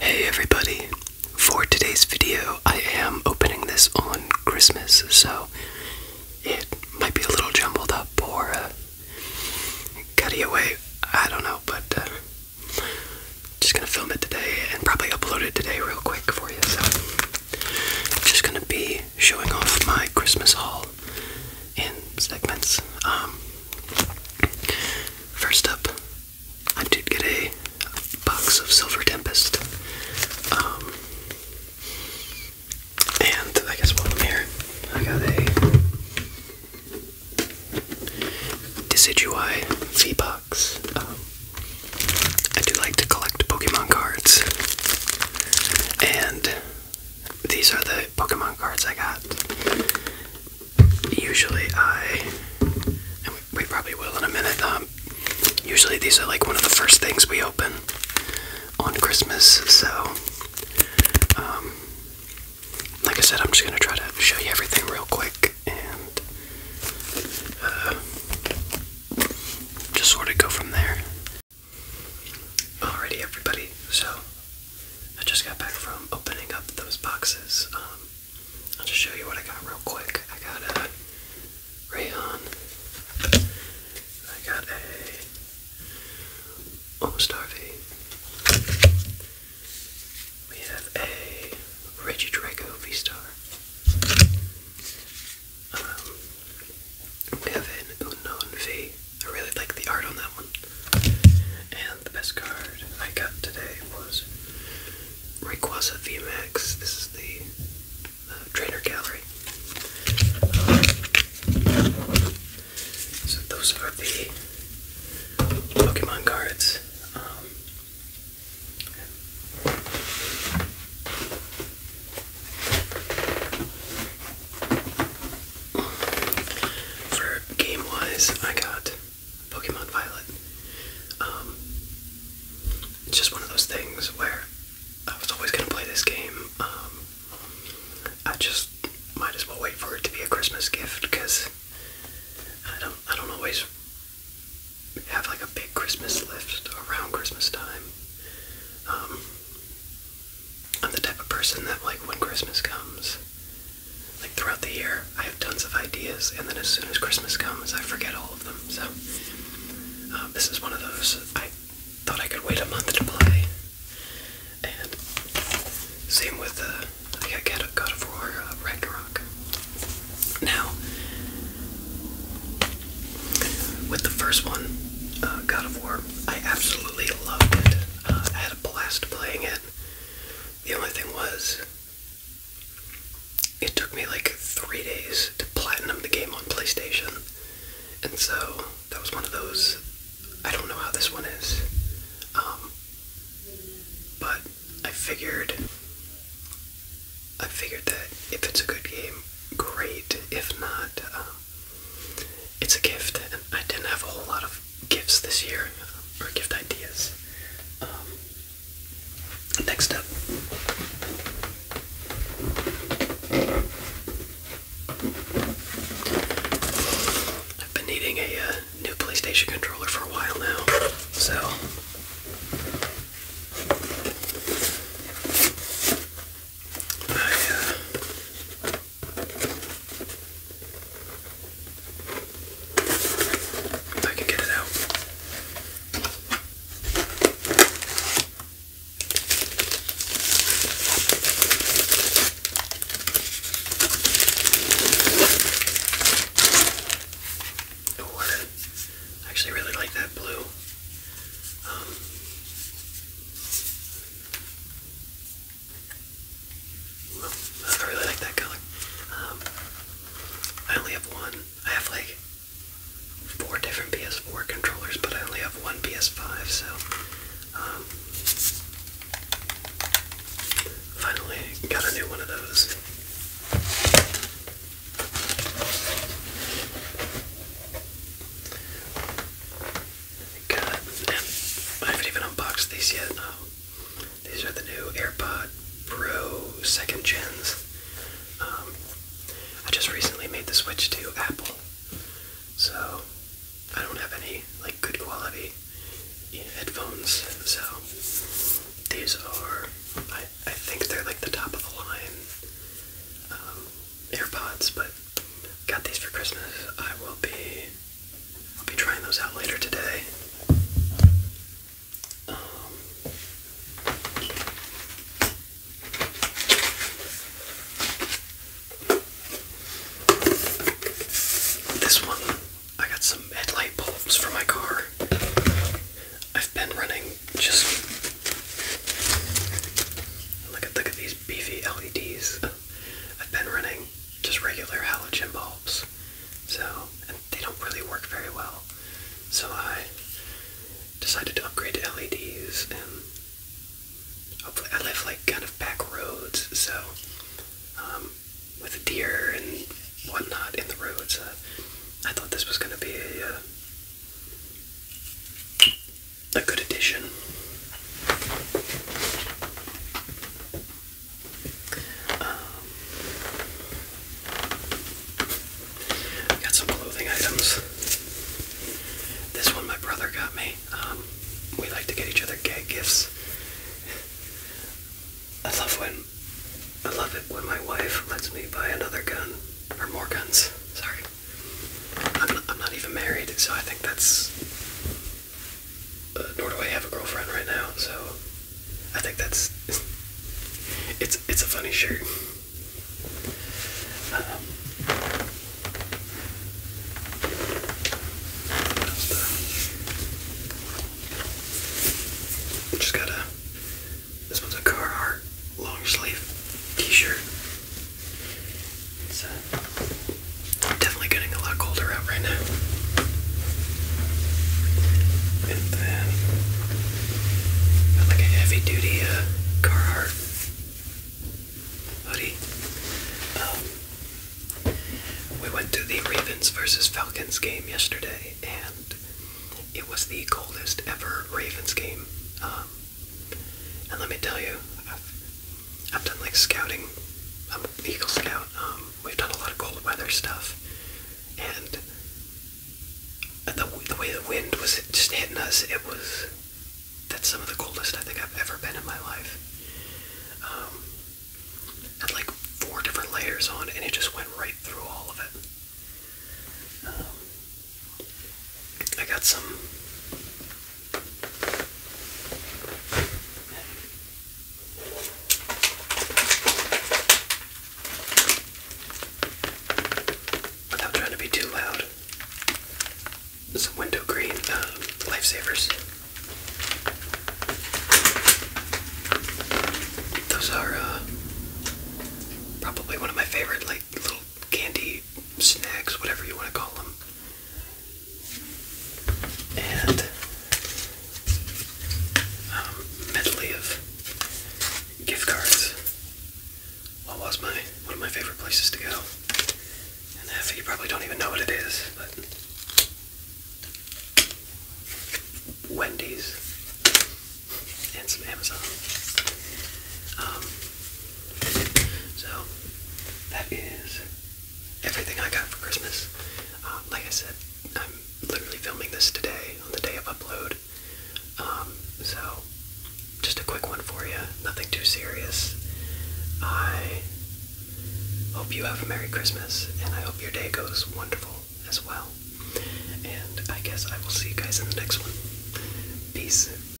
Hey everybody! For today's video, I am opening this on Christmas, so it might be a little jumbled up or uh, cutty away. I don't know, but uh, just gonna film it today and probably upload it today real quick for you. So just gonna be showing off my Christmas haul in segments. Um, First up, I did get a box of Silver Tempest. Um, and I guess while I'm here, I got a Decidueye V-Box. Um, I do like to collect Pokemon cards, and these are the Pokemon cards I got. Usually I, we probably will in a minute, um, usually these are like one of the first things we open on Christmas, so, um, like I said, I'm just gonna try to show you everything real quick and uh, just sort of go from there. Alrighty, everybody, so I just got back from opening up those boxes. Um, I'll just show you what I got real quick. I got a rayon. I got a almost Harvey. We have a Reggie Draco V Star. Um, we have an unknown V. I really like the art on that one. And the best card I got today was Rayquaza VMAX. This is the uh, trainer gallery. so those are the Pokemon cards. Um, for game wise, I got Pokemon Violet. Um, it's just one of those things where I was always going to play this game. Um, I just might as well wait for it to be a Christmas gift because I don't, I don't always have like a big Christmas list around Christmas time. Um, I'm the type of person that, like, when Christmas comes, like, throughout the year, I have tons of ideas, and then as soon as Christmas comes, I forget all of them. So, uh, this is one of those. I thought I could wait a month to play. And same with, uh, God of War uh, Ragnarok. Now, with the first one, uh, God of War, I absolutely loved it blast playing it. The only thing was, it took me like three days to platinum the game on PlayStation. And so, that was one of those. I don't know how this one is. Um, but I figured. I figured that if it's a good game, great. If not, um, it's a gift, and I didn't have a whole lot of gifts this year uh, or gift ideas. Um, next up. I've been needing a uh, new PlayStation controller for a while now, so I uh, I can get it out. Oh, I actually really like that blue. Um, I really like that color. Um, I only have one. I have like four different PS4 controllers, but I only have one PS5, so um, finally got a new one of those. Good. I haven't even unboxed these yet. Um, these are the new AirPod Pro second gens. Um, I just recently made the switch to Apple, so I don't have any like good quality headphones. So these are, I I think they're like the top of the line. Um, AirPods, but got these for Christmas. I will be I'll be trying those out later today. Um, this one, I got some headlight bulbs for my car. I've been running just look at look at these beefy LEDs. I've been running just regular halogen bulbs, so they don't really work very well. So I decided to upgrade to LEDs, and I live like kind of back roads, so um, with deer and whatnot in the roads, uh, I thought this was going to be a uh, a good addition. Um, got some clothing items. This one my brother got me. Um, we like to get each other gag gifts. I love when I love it when my wife lets me buy another gun or more guns. Sorry. I'm not, even married, so I think that's. Uh, nor do I have a girlfriend right now, so I think that's. It's it's a funny shirt. Um, just got a. This one's a car art long sleeve T-shirt. It's definitely getting a lot colder out right now. And then got like a heavy duty uh, Carhartt hoodie. Um, we went to the Ravens versus Falcons game yesterday, and it was the coldest ever Ravens game. Um, and let me tell you, I've, done like scouting. I'm an Eagle Scout. Um, we've done a lot of cold weather stuff. And the, the way the wind was just hitting us, it was. That's some of the coldest I think I've ever been in my life. Um, had like four different layers on, and it just went right through all of it. Um, I got some Without trying to be too loud, some window green uh, lifesavers. Those are uh, probably one of my favorite, like little candy snacks, whatever you want to call them and um, medley of gift cards. What was my one of my favorite places to go? And half you probably don't even know what it is, but Wendy's and some Amazon. Um, so that is everything I got for Christmas. Um, like I said, I'm literally filming this today on the day of upload. Um, so just a quick one for you. Nothing too serious. I hope you have a Merry Christmas, and I hope your day goes wonderful as well. And I guess I will see you guys in the next one. Peace.